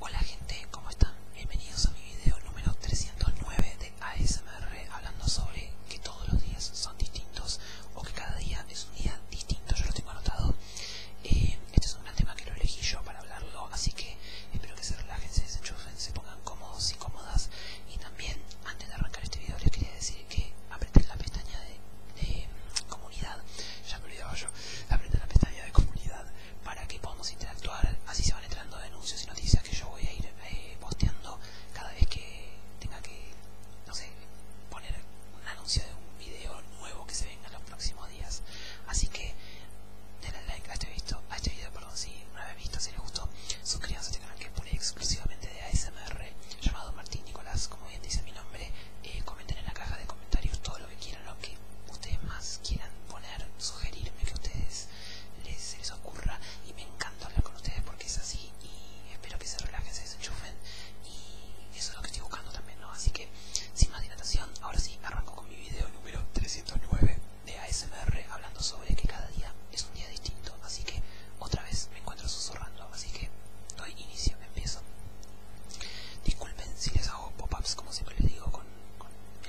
Hola gente, ¿cómo están? Bienvenidos a mi video número 309 de ASMR hablando sobre que todos los días son distintos o que cada día es un día distinto, yo lo tengo anotado. Eh, este es un tema que lo elegí yo para hablarlo, así que espero que se relajen, se desenchufen, se pongan cómodos y cómodas. Y también, antes de arrancar este video, les quería decir que apreté la pestaña de comunidad, ya me olvidaba yo, la pestaña de comunidad para que podamos interactuar, así se van entrando denuncias y noticias que yo voy a ir eh, posteando cada vez que tenga que, no sé, poner un anuncio de un video nuevo que se venga en los próximos días. Así que denle like a este, a este video, perdón, si una vez visto, si les gustó, suscríbanse a este canal que es exclusivamente de ASMR, llamado Martín Nicolás bien dice mi nombre, eh, comenten en la caja de comentarios todo lo que quieran, lo que ustedes más quieran poner, sugerirme que ustedes les, les ocurra y me encanta hablar con ustedes porque es así y espero que se relajen, se desenchufen y eso es lo que estoy buscando también, ¿no? Así que sin más dilatación, ahora sí arranco con mi video número 309 de ASMR hablando sobre que cada día es un día distinto, así que otra vez me encuentro susurrando así que doy inicio, me empiezo. Disculpen si les hago pop-ups, como siempre les digo, con,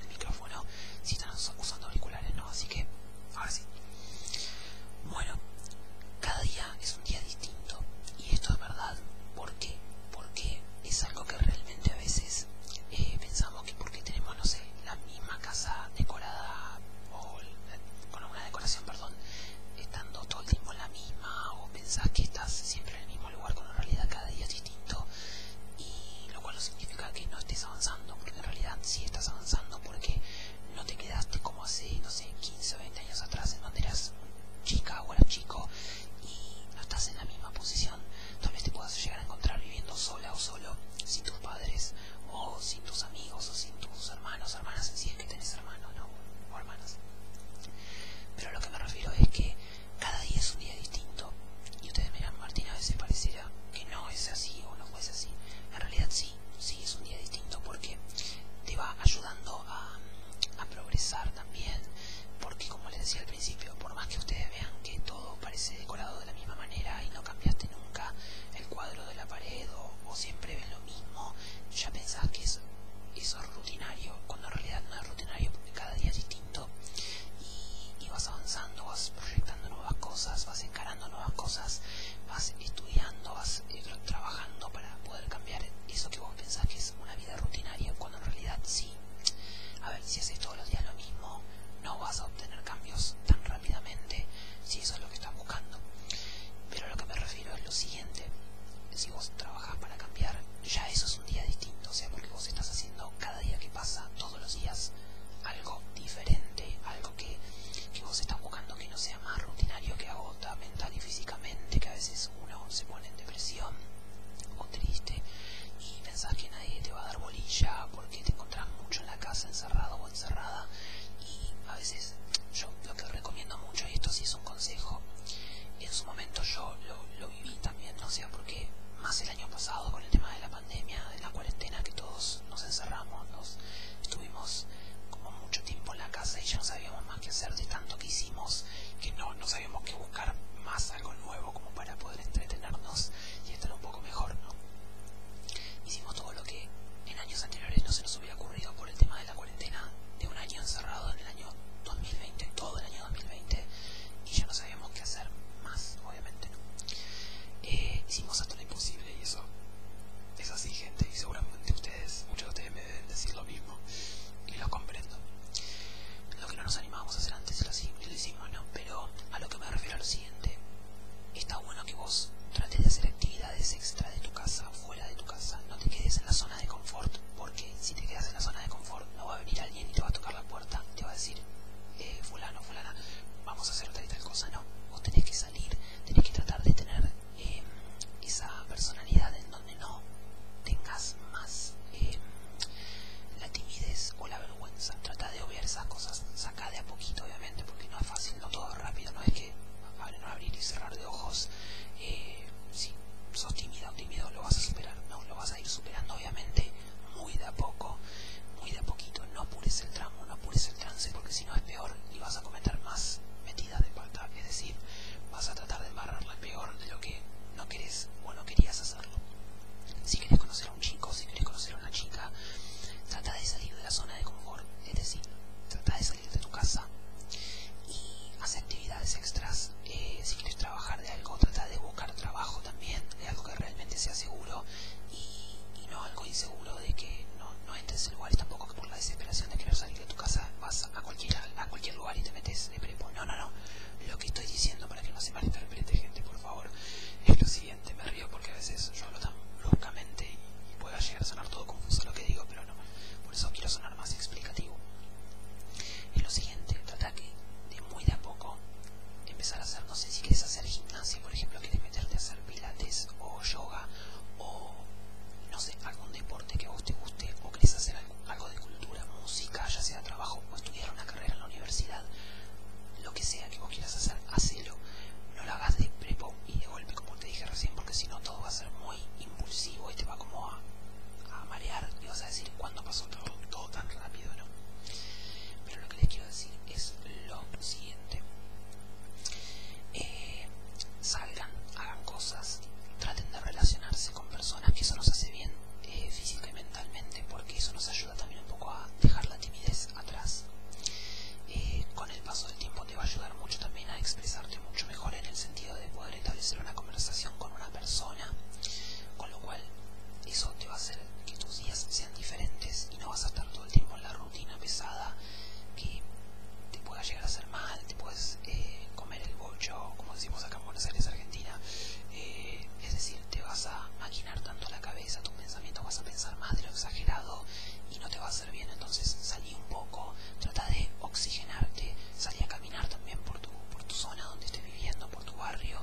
el micrófono, si están usando auriculares, no, así que ahora sí. Bueno, cada día es un día distinto, y esto es verdad, ¿por qué? Porque es algo que realmente a veces eh, pensamos que porque tenemos, no sé, la misma casa decorada o con una decoración, perdón, estando todo el tiempo en la misma o pensás que estás siempre en el mismo lugar cuando en realidad cada día es distinto y lo cual no significa que no estés avanzando porque en realidad sí estás avanzando porque no te quedaste como hace no sé 15 o 20 años atrás en donde eras chica o era chico y no estás en la misma posición tal vez te puedas llegar a encontrar viviendo sola o solo sin tus padres o sin tus amigos o sin tus hermanos hermanas, si es que tenés hermanos o hermanas. Pero lo que me refiero es que cada día es un día distinto. Y ustedes miran, Martín, a veces parecerá que no es así o no fue así. En realidad sí, sí es un día distinto porque te va ayudando a, progresar también. Porque como les decía al principio, por más que ustedes vean que todo parece decorado de la misma manera y no cambiaste nunca el cuadro de la pared o, siempre ven mismo, ya pensás que eso es rutinario, cuando en realidad no es rutinario porque cada día es distinto y, vas avanzando, vas proyectando nuevas cosas, vas encarando nuevas cosas, vas estudiando, vas eh, trabajando para poder cambiar eso que vos pensás que es una vida rutinaria, cuando en realidad sí. A ver, si haces todos los días lo mismo, no vas a obtener cambios tan rápidamente si eso es lo que estás buscando. Pero lo que me refiero es lo si vos trabajás para cambiar, ya eso es un día distinto, o sea, porque vos estás haciendo cada día que pasa, todos los días, algo diferente, algo que, que vos estás buscando que no sea más rutinario, que agota mental y físicamente, que a veces uno se pone en depresión o triste y pensás que nadie te va a dar bolilla porque te encontrás mucho en la casa encerrado o encerrada y a veces yo lo que recomiendo mucho, y esto sí es un consejo, en su momento yo lo, viví también, no sé por qué, más el año pasado con el tema de la pandemia, de la cuarentena, que todos nos encerramos, nos estuvimos como mucho tiempo en la casa y ya no sabíamos más qué hacer de tanto que hicimos, que no, no sabíamos qué buscar más algo nuevo como para poder entretenernos y estar un poco mejor, ¿no? Hicimos todo lo que en años anteriores no se nos hubiera ocurrido por el tema la cuarentena de un año encerrado en el año 2020, todo el año 2020, y ya no sabíamos qué hacer más, obviamente. Eh, hicimos hasta lo imposible y eso es así, gente, y seguramente ustedes, muchos de ustedes me deben decir lo mismo, y lo comprendo. Lo que no nos animábamos a hacer antes lo, lo hicimos, ¿no? Pero a lo que me refiero a lo siguiente, está bueno que vos trates de hacer actividades extra de tu casa fuera de tu casa. No te quedes en la zona de confort, porque si te quedas en la zona de confort, no va a venir alguien y te va a tocar la puerta, te va a decir, eh, fulano, fulana, vamos a hacer tal y tal cosa. No, vos tenés que salir, tenés que tratar de tener em, esa personalidad en donde no tengas más em, la timidez o la vergüenza. Trata de obviar esas cosas, saca de a poquito, obviamente, porque no es fácil, no todo es rápido, no es que abrir, abrir y cerrar de ojos. Eh, si sos tímido tímido, lo vas a superar, no, lo vas a ir superando, obviamente, muy de a poco, muy de a poquito. No apures el tramo, no apures el trance, porque si no es peor y vas a cometer más metidas de pata, es decir, vas a tratar de lo peor de lo que no querés o no querías hacerlo. Si querés conocer a un chico, si querés conocer a una chica, trata de salir de la zona de confort, es decir, trata de salir de tu casa y hace actividades extras. Eh, si quieres trabajar de algo, trata de buscar trabajo también, de algo que realmente sea seguro y, no algo inseguro de que no, entres en lugares tampoco que por la desesperación de querer salir de tu casa vas a cualquier, a cualquier lugar y te metes de prepo. No, no, no. Lo que estoy diciendo para que no se malinterprete gente, por favor, es lo siguiente. Me río porque a veces yo hablo tan bruscamente y, puede llegar a sonar todo confuso lo que digo, pero no. Por eso quiero sonar más explicativo. Y lo siguiente, trata que de muy de a poco empezar a hacer, no sé si quieres hacer gimnasia, por ejemplo, quieres meterte a hacer pilates o yoga o no sé, algún deporte que a vos te guste o quieres hacer algo de cultura, música, ya sea trabajo o estudiar una carrera en la universidad, lo que sea que vos quieras hacer, hacelo. No lo hagas de prepo y de golpe como te dije recién porque si no todo va a ser muy impulsivo y te va como a, marear y vas a decir cuándo pasó todo, todo tan rápido no pero lo que les quiero decir es lo siguiente eh, salgan hagan cosas traten de relacionarse con personas que eso nos hace bien eh, física y mentalmente porque eso nos ayuda también un poco a dejar la timidez atrás. Eh, con el paso del tiempo te va a ayudar mucho también a expresarte mucho mejor en el sentido de poder establecer una conversación con una persona, con lo cual eso te va a hacer que tus días sean diferentes y no vas a estar todo el tiempo en la rutina pesada que te pueda llegar a hacer mal, te puedes eh, comer el bocho, como decimos acá en Buenos Aires, Argentina, eh, es decir, te vas a tanto la cabeza, tus pensamientos vas a pensar más de lo exagerado y no te va a hacer bien. Entonces salí un poco, trata de oxigenarte, salí a caminar también por tu, por tu zona donde estés viviendo, por tu barrio,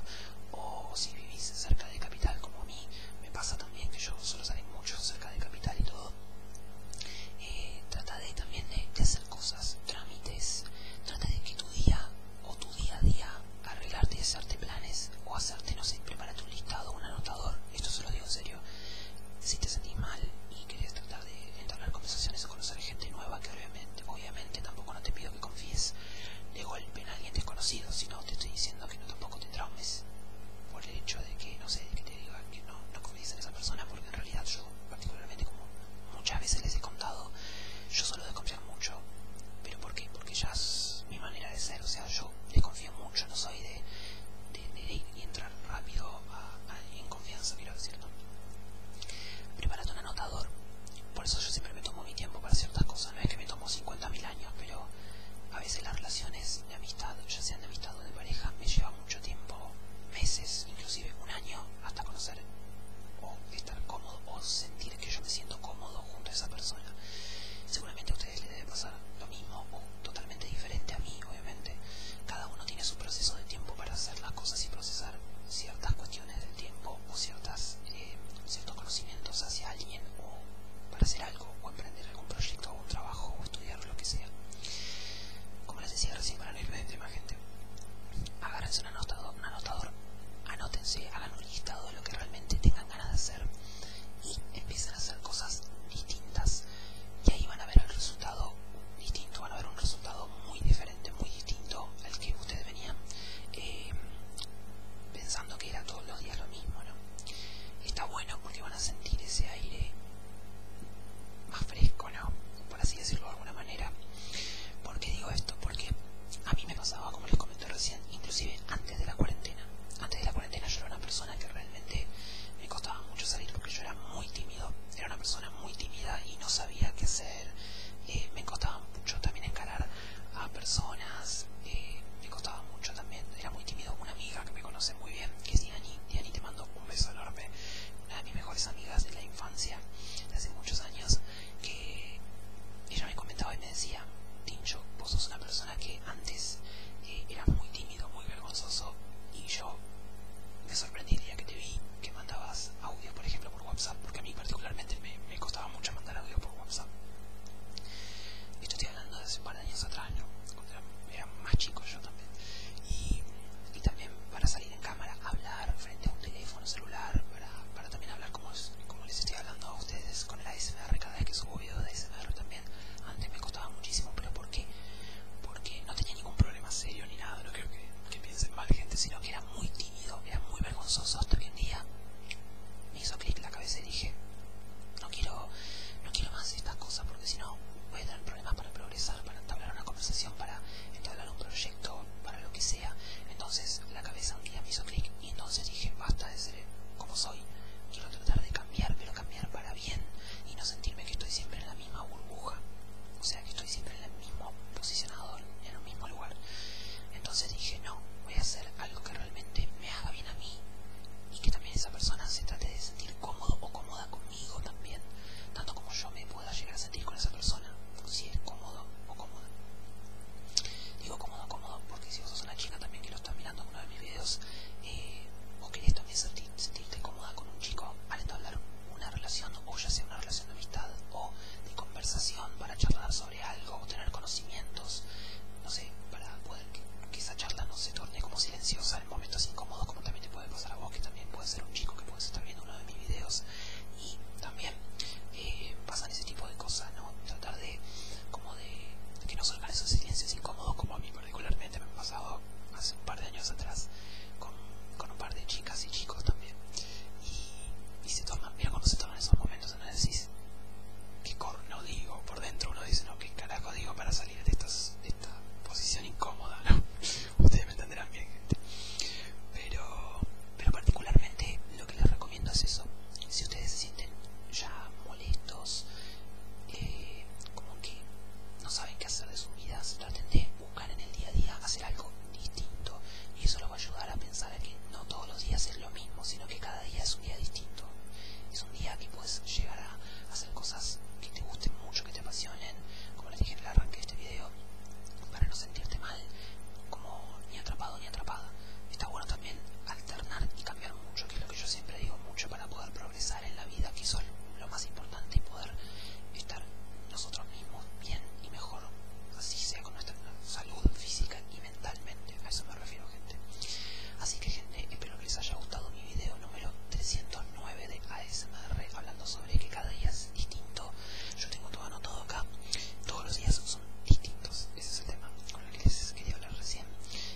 o si vivís cerca de capital como a mí, me pasa también que yo solo salí mucho cerca de capital y todo. Eh, trata de también de, de hacer cosas, trámites, trata de que tu día o tu día a día arreglarte y hacerte planes o hacerte, no sé, prepárate un listado, un anotador, esto se lo digo en serio, si te sentís mal y querés tratar de entablar conversaciones o conocer gente nueva, que obviamente, obviamente tampoco no te pido que confíes de golpe en alguien desconocido, sino te estoy diciendo que no tampoco te traumes por el hecho de que, no sé, que te diga que no, confíes en esa persona, porque en realidad yo particularmente como muchas veces les he contado, yo solo desconfiar mucho, pero ¿por qué? Porque ya es mi manera de ser, o sea, yo desconfío mucho, no soy de, entrar rápido en confianza, quiero decirlo. Preparate un anotador, por eso yo siempre me tomo mi tiempo para ciertas cosas, no es que me tomo 50.000 años, pero a veces las relaciones de amistad, ya sean de amistad o de pareja, me lleva mucho tiempo, meses, inclusive un año, hasta conocer o estar cómodo o sentir que yo me siento cómodo junto a esa persona. Seguramente debe pasar lo mismo o totalmente diferente a mí, obviamente. Cada uno tiene su proceso de tiempo para hacer las cosas y procesar ciertas cuestiones del tiempo o ciertas, eh, ciertos conocimientos hacia alguien o para hacer algo o emprender algún proyecto o un trabajo o estudiar lo que sea. Como les decía recién, para no irme de más gente, agárrense un anotador, un anotador anótense, hagan un listado de lo que realmente tengan de hacer y empiezan a hacer cosas distintas y ahí van a ver el resultado distinto, van a ver un resultado muy diferente, muy distinto al que ustedes venían eh, pensando que era todos los días lo mismo, Está bueno porque van a sentir ese aire más fresco, ¿no? Por así decirlo de alguna manera. porque digo esto? Porque a mí me pasaba, como les comenté recién, inclusive antes de la cuarentena. Antes de la cuarentena yo era una persona que realmente me costaba mucho salir porque yo era muy tímido. Era una persona muy tímida y no sabía qué hacer. Eh, me costaba mucho también encarar a personas. Eh, me costaba mucho también. Era muy tímido. Una amiga que me conoce muy bien, que es Diani. Diani te mando un beso enorme. Una de mis mejores amigas de la infancia, de hace muchos años que ella me comentaba y me decía, Tincho, vos sos una persona que antes eh, era muy tímido, muy vergonzoso, y yo me sorprendí el día que te vi que mandabas audio, por ejemplo, por WhatsApp, porque a mí particularmente me, costaba mucho mandar audio por WhatsApp. Esto estoy hablando de hace un par de años atrás, ¿no? Cuando era, más chico yo también. Y, también para salir en cámara, hablar frente a un teléfono celular, para, para también hablar como, les estoy hablando a ustedes con el ASMR, cada vez que subo videos de ASMR también, antes me costaba muchísimo, pero ¿por qué? Porque no tenía ningún problema serio ni nada, no quiero que, piensen mal gente, sino que era muy tímido, era muy vergonzoso hasta que un día me hizo clic la cabeza y dije, no quiero, no quiero más estas cosas porque si no voy a tener problemas para progresar, para entablar una conversación, para entablar un proyecto, para lo que sea. Entonces la cabeza un día me hizo clic y entonces dije basta de ser como soy quiero tratar de cambiar pero cambiar para bien y no sentirme que estoy siempre en la misma burbuja o sea que estoy siempre en el mismo posicionador, en el mismo lugar entonces dije no voy a hacer algo que realmente me haga bien a mí y que también esa persona se trate de sentir cómodo o cómoda conmigo también tanto como yo me pueda llegar a sentir con esa persona si es cómodo o cómoda. Digo cómodo, cómodo, porque si vos sos una chica también que lo está mirando en uno de mis videos, eh, querés también sentirte cómoda con un chico al entablar una relación, o ya sea una relación de amistad o de conversación para charlar sobre algo, o tener conocimientos, no sé, para poder que, esa charla no se torne como silenciosa en momentos incómodos, como también te puede pasar a vos, que también puede ser un chico que puedes estar viendo uno de mis videos y también eh, pasan ese tipo de cosas, ¿no? Tratar de, como de, que no salgan esos silencios incómodos, como a mí particularmente me han pasado hace un par de años atrás con, con un par de chicas y chicos también. Y, se toman, mira cuando se toman esos momentos, ¿no? Decís, ¿qué corno digo? Por dentro uno dice, no, ¿qué carajo digo para salir de, de esta posición incómoda, ¿no? Ustedes me entenderán bien, gente. Pero, pero particularmente lo que les recomiendo es eso si ustedes se sienten ya molestos eh, como que no saben qué hacer de sus vidas traten de buscar en el día a día hacer algo distinto y eso los va a ayudar a pensar que no todos los días es lo mismo sino que cada día es un día distinto es un día que puedes llegar a hacer cosas que te gusten mucho que te apasionen como les dije en el arranque de este video para no sentirte mal como ni atrapado ni atrapada. Está bueno también alternar y cambiar mucho, que es lo que yo siempre digo mucho para poder progresar en la vida, que eso es lo más importante y poder estar nosotros mismos bien y mejor, así sea con nuestra salud física y mentalmente. A eso me refiero, gente. Así que, gente, espero que les haya gustado mi video número 309 de ASMR hablando sobre que cada día es distinto. Yo tengo todo anotado acá. Todos los días son distintos. Ese es el tema con el que les quería hablar recién.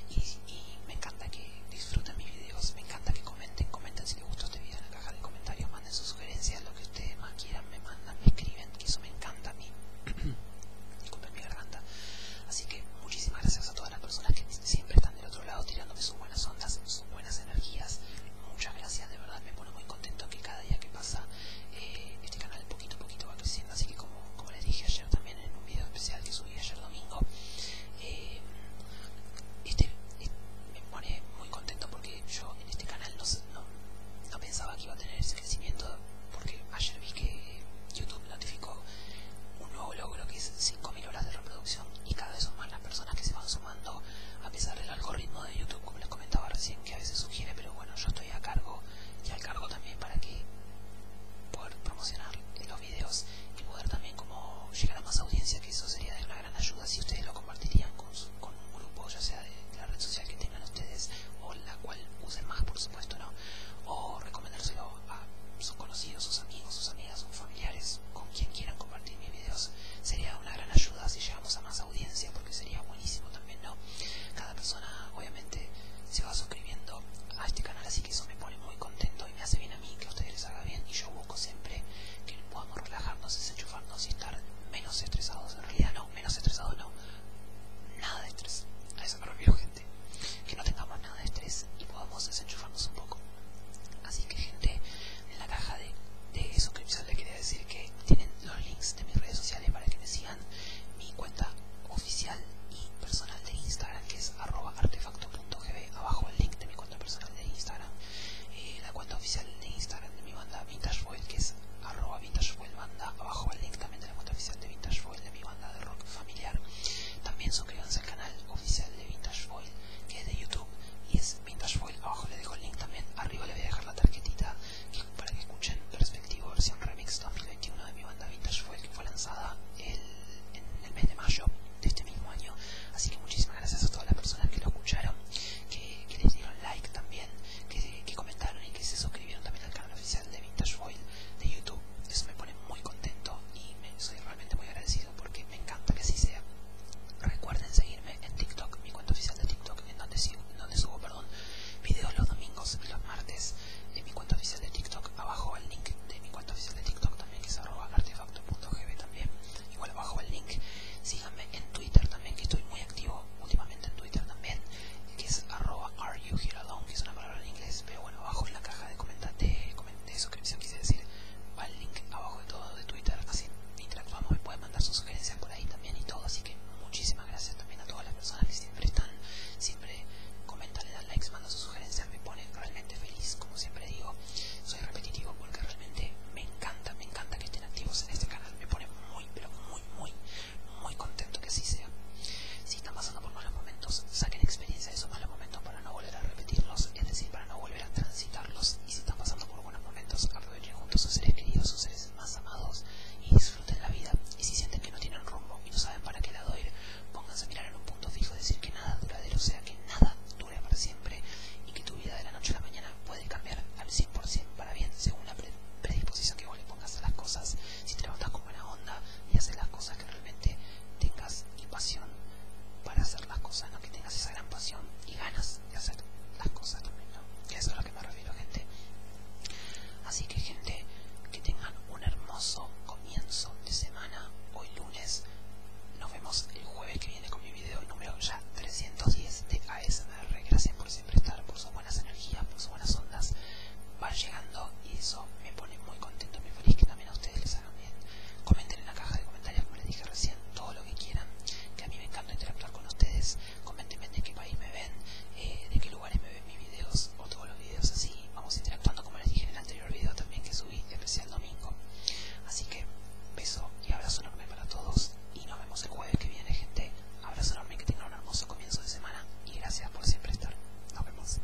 Y, y me encanta que disfruten mis videos. Me encanta que comenten. Comenten si les gustó este video en la caja de comentarios. Manden sus sugerencias, lo que ustedes más quieran. Me mandan, me escriben. Que eso me encanta a mí. Disculpen mi garganta. Así que muchísimas gracias a todas las personas que siempre están del otro lado tirándome sus buenas ondas, sus buenas energías muchas gracias, de verdad me pone muy contento que cada día que pasa eh, este canal poquito a poquito va creciendo, así que como, como les dije ayer también en un video especial que subí ayer domingo, eh, este, este, me pone muy contento porque yo en este canal no, no, pensaba que iba a tener ese crecimiento porque ayer vi que YouTube notificó un nuevo logro que es 5.000 horas de reproducción y cada vez son más las personas que se van sumar a pesar del algoritmo de YouTube, como les comentaba recién, que a veces sugiere, pero bueno, yo estoy a cargo y al cargo también para que poder promocionar los videos y poder también como llegar a más audiencia, que eso sería de una gran ayuda si ustedes lo compartirían con, un grupo, ya sea de la red social que tengan ustedes o la cual usen más, por supuesto, O recomendárselo a sus conocidos, sus amigos, sus amigas, sus familiares, con quien quieran compartir mis videos, sería una gran ayuda si llegamos a más audiencia porque sería buenísimo también, ¿no? Cada persona obviamente se va suscribiendo a este canal así que eso me pone muy contento y me hace bien a mí que a ustedes les haga bien y yo busco siempre que podamos relajarnos, desenchufarnos y estar menos estresados, en realidad no, menos estresados no, nada de estrés, a eso me refiero gente, que no tengamos nada de estrés y podamos desenchufarnos un poco. Así que gente, en la caja de, suscripción les quería decir que tienen los links de mis redes sociales para que me sigan mi cuenta oficial y personal de Instagram que es arroba abajo el link de mi cuenta personal de Instagram eh, la cuenta oficial de Instagram de mi banda Vintage foil que es arroba Vintage foil banda abajo el link también de la cuenta oficial de Vintage foil de mi banda de rock familiar también suscríbanse al canal oficial de Vintage Foil que es de YouTube y es Vintage Foil, abajo le dejo el link también. Arriba le voy a dejar la tarjetita para que escuchen respectivo versión remix 2021 de mi banda Vintage Foil que fue lanzada el, en el mes de mayo de este mismo año. Así que muchísimas gracias a todas las personas que lo escucharon, que, les dieron like también, que, comentaron y que se suscribieron también al canal oficial de Vintage Foil de YouTube. Eso me pone muy contento y me, soy realmente muy agradecido porque me encanta que así sea. Recuerden seguirme en TikTok, mi cuenta oficial de TikTok, en donde, en donde subo perdón, videos los domingos y los martes de mi cuenta oficial de TikTok. Abajo el link de mi cuenta oficial de TikTok también, que es arroba artefacto.gb también. Igual abajo el link. Síganme en Twitter también, que estoy muy activo últimamente en Twitter también, que es arroba are que es una palabra en inglés, pero bueno, abajo en la caja de comentarios de suscripción quise decir, va el link abajo de todo de Twitter, así interactuamos vamos me pueden mandar sus sugerencias por ahí también y todo, así que muchísimas gracias también a todas las personas que siempre están, siempre comentan, le dan likes, mandan sus sugerencias, me pone realmente feliz, como siempre digo, soy repetitivo porque realmente me encanta, me encanta que estén activos en este canal, me pone muy, pero muy, muy, muy contento que así sea. Si están pasando por malos momentos, saquen experiencia de esos malos momentos no volver a repetirlos, es decir, para no volver a transitarlos. Y si están pasando por buenos momentos, aprovechen juntos a sus seres queridos, sus seres más amados y disfruten la vida. Y si sienten que no tienen rumbo y no saben para qué lado ir, pónganse a mirar en un punto fijo decir que nada duradero, sea, que nada dure para siempre y que tu vida de la noche a la mañana puede cambiar al 100% para bien según la predisposición que vos le pongas a las cosas. Si te levantas con buena onda y haces las cosas que realmente tengas y pasión para hacer las cosas, Que tengas esa gran pasión y ganas de hacer las cosas también, ¿no? Eso es lo que me refiero, gente. Así que, gente, que tengan un hermoso comienzo de semana. Hoy lunes. Nos vemos el jueves que viene con mi video número ya 310 de ASMR. Gracias por siempre estar, por sus buenas energías, por sus buenas ondas. Van llegando y eso me pone muy contento, muy feliz también a ustedes les hagan bien. Comenten en la caja de comentarios, como les dije recién, todo lo que quieran, que a mí me encanta interactuar con ustedes. comenten de qué país me ven, eh, de qué lugares me ven mis videos o todos los videos así. Vamos interactuando, como les dije en el anterior video también que subí, especial domingo. Así que, beso y abrazo enorme para todos. Y nos vemos el jueves que viene, gente. Abrazo enorme, que tengan un hermoso comienzo de semana. Y gracias por siempre estar. Nos vemos.